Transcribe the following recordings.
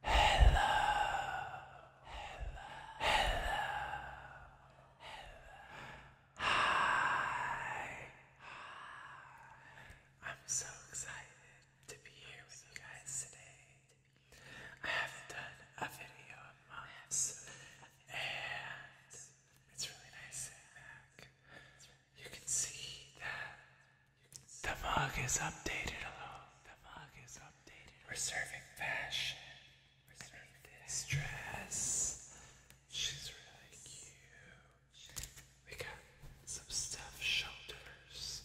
Hello. Hello. Hi. I'm so excited to be here with you guys today. I haven't done a video in months, and it's really nice sitting back. You can see that the mug is updated hello. The mug is updated. Reserving fashion. Reserving She's really cute. We got some stuff shoulders.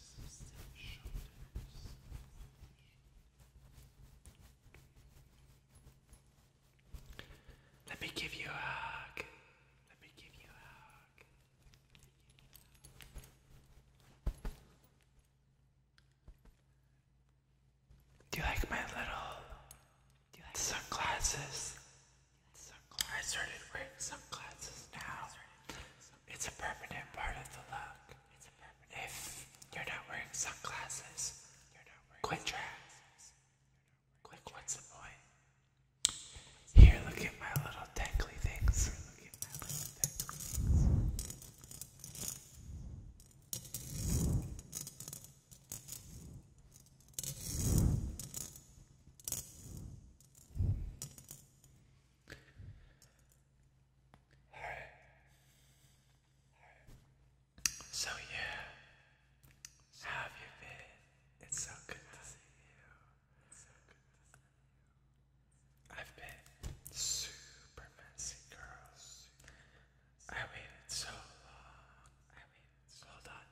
Let me give you a hug. Let me give you a hug. Do you like my little sunglasses? I started wearing sunglasses now. It's a permanent part of the look. If you're not wearing sunglasses, you're what's the point? Here, look at my little tangly things. So yeah. How have you been? It's so good to see you. I've been super messy, girls. I waited so long. Hold on.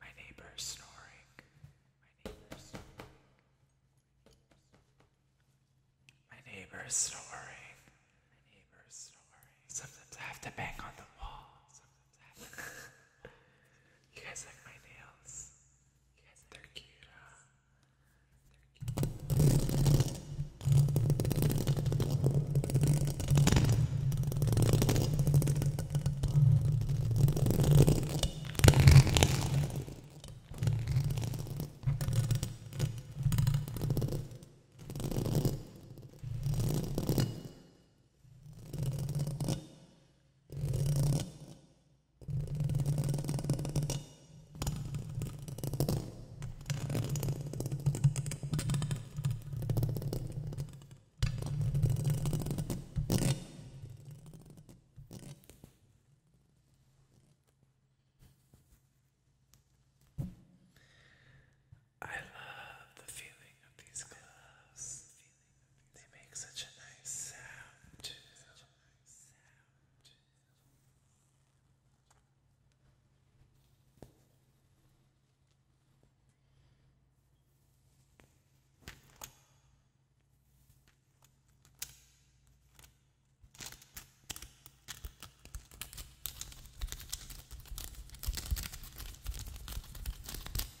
My neighbor's snoring. snoring. My neighbor's snoring. snoring. Sometimes I have to bang on the wall. you guys like my nails? You guys They're like cute, huh? They're cute. I love the feeling of these gloves. They make such a nice sound Hi.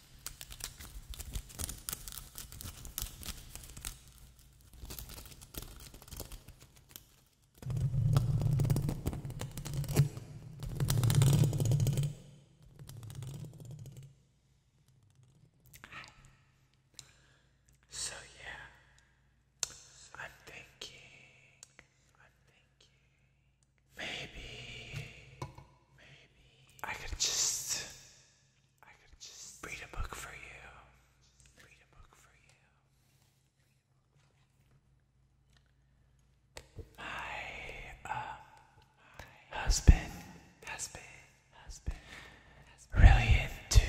So yeah, I'm thinking, I'm thinking Maybe, maybe I could just, I could just read a book for you. Read a book for you. My, um, husband, husband, husband, really into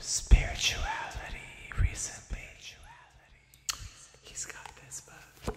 spirituality recently. He's got this book.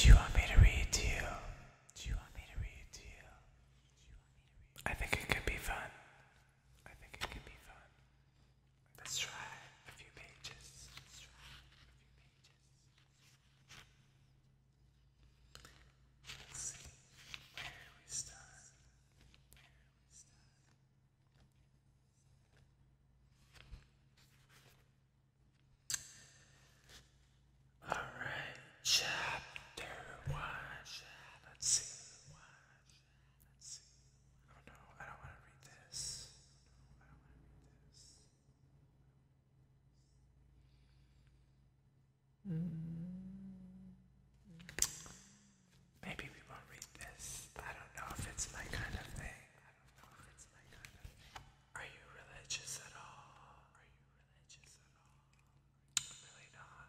Do you want me to read to you? Do you want me to read to you? I think it could be fun. I think it could be fun. Let's try a few pages. Let's try a few pages. Let's see where we start. Where we start. All right, chapter one. let One let I don't want I don't want to read this. Mm. Maybe we won't read this. I don't know if it's my kind of thing. Are you religious at all? really not.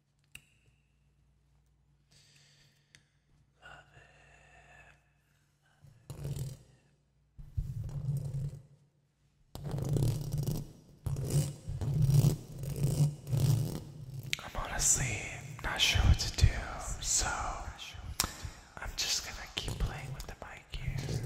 I'm honestly not sure what to do, so I'm just gonna keep playing with the mic here.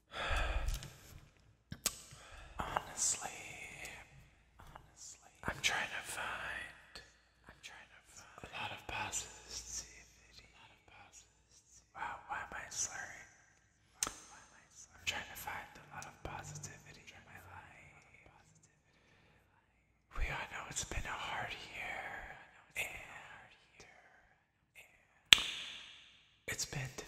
Honestly, honestly, I'm trying to find. a lot of positivity. Wow, why am I slurring? I am trying to find a lot of positivity in my life. We all know it's been a hard year, it's been difficult.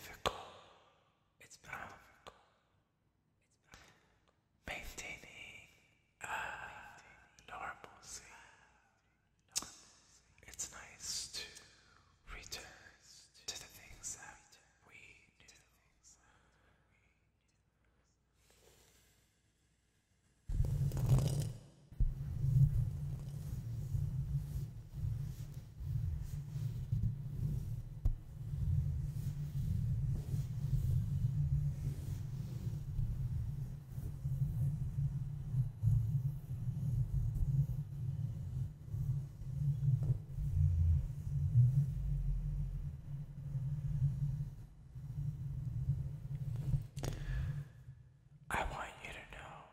Maintaining uh, normalcy. It's nice to return to the things that we knew. I want you to know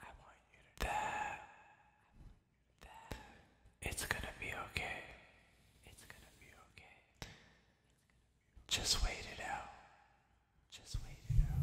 I want you to that that it's gonna be okay. It's gonna be okay. Just wait it out. Just wait it out.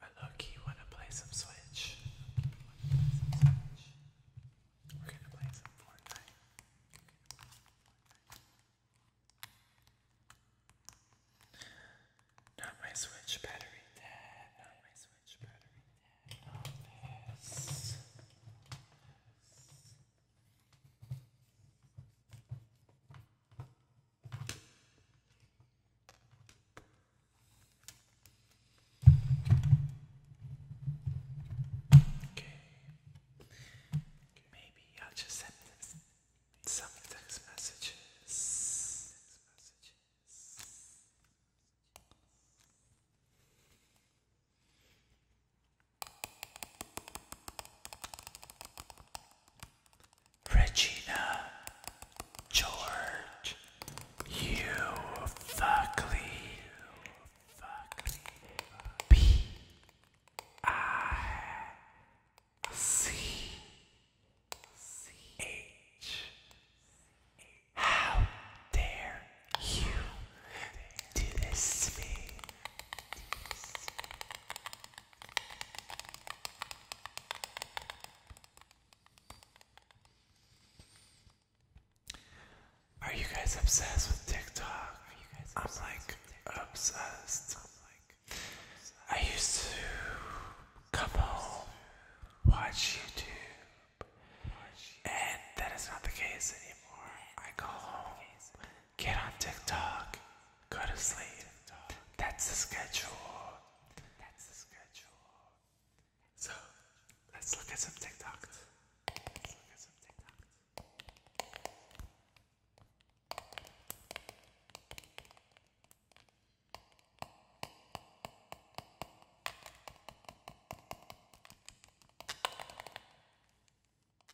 I low-key want to play some Switch. We're going to play some Fortnite. Not my Switch battery dead. Not my Switch battery dead. Not oh, this. Okay. Maybe I'll just send some text messages. messages. Regina George, you fuckly, fuckly, B I C H. How dare you do this to me? Are you guys obsessed with TikTok? I'm like obsessed. I'm like I used to come home, watch YouTube, and that is not the case anymore. I go home, get on TikTok, Go to sleep. That's the schedule. That's the schedule. So let's look at some TikToks. Let's look at some TikToks.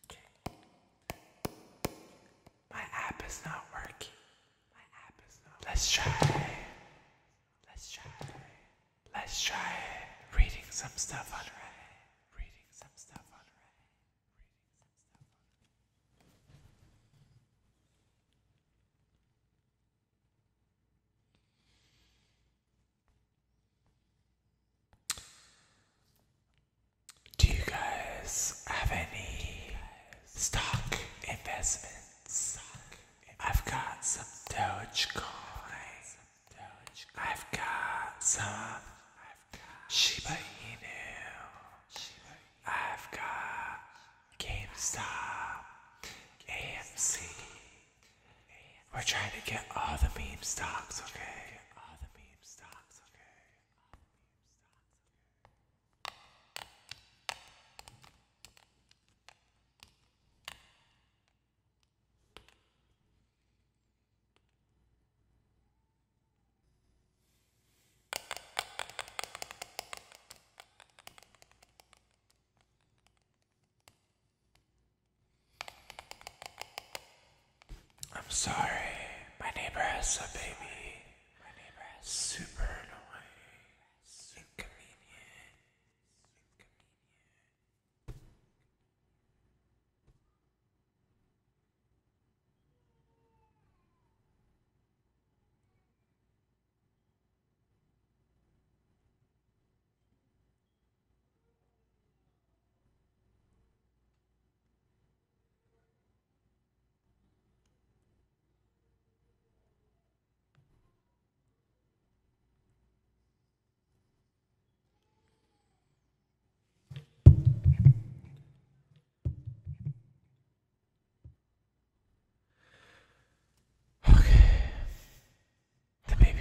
Okay. My app is not working. My app is not working. Let's try. Let's try. Let's try reading some stuff on Reddit. Reading some stuff on Reddit. Do you guys have any stock investments? I've got some Dogecoin. I've got some Shiba Inu. I've got GameStop, AMC. We're trying to get all the meme stocks, okay? All the meme stocks, okay? I'm sorry, my neighbor has a baby my neighbor is super annoying, super inconvenient, inconvenient.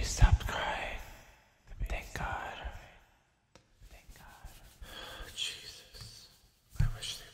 Stopped crying. Thank God. Thank God. Jesus. I wish they would.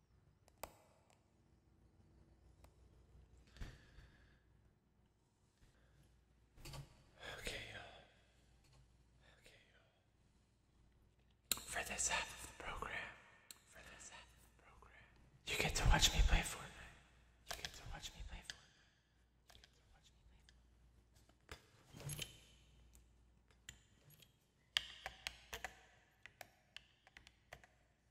Okay, you Okay, For this program, for this program, get to watch me play Fortnite. You get to watch me play Fortnite. You get to watch me play Fortnite.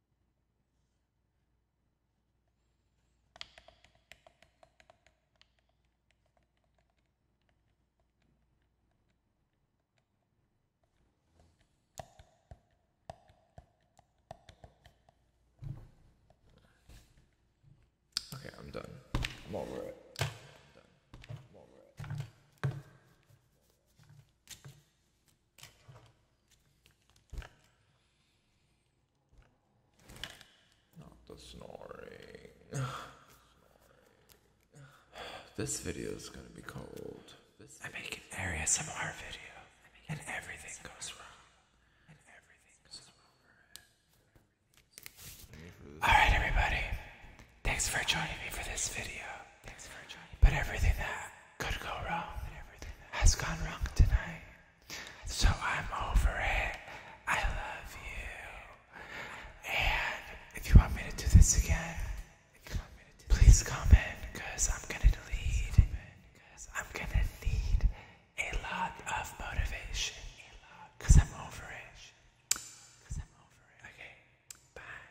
Okay, I'm done. I'm over it. I'm done. I'm over it. Not the snoring. This video is gonna be cold. This I make an area ASMR video, and everything goes wrong. All right, everybody. Thanks for joining me for this video. But everything that could go wrong has gone wrong tonight. So I'm over it. I love you. And if you want me to do this again, please comment because I'm going to need, I'm going to need a lot of motivation because I'm over it. Okay, bye.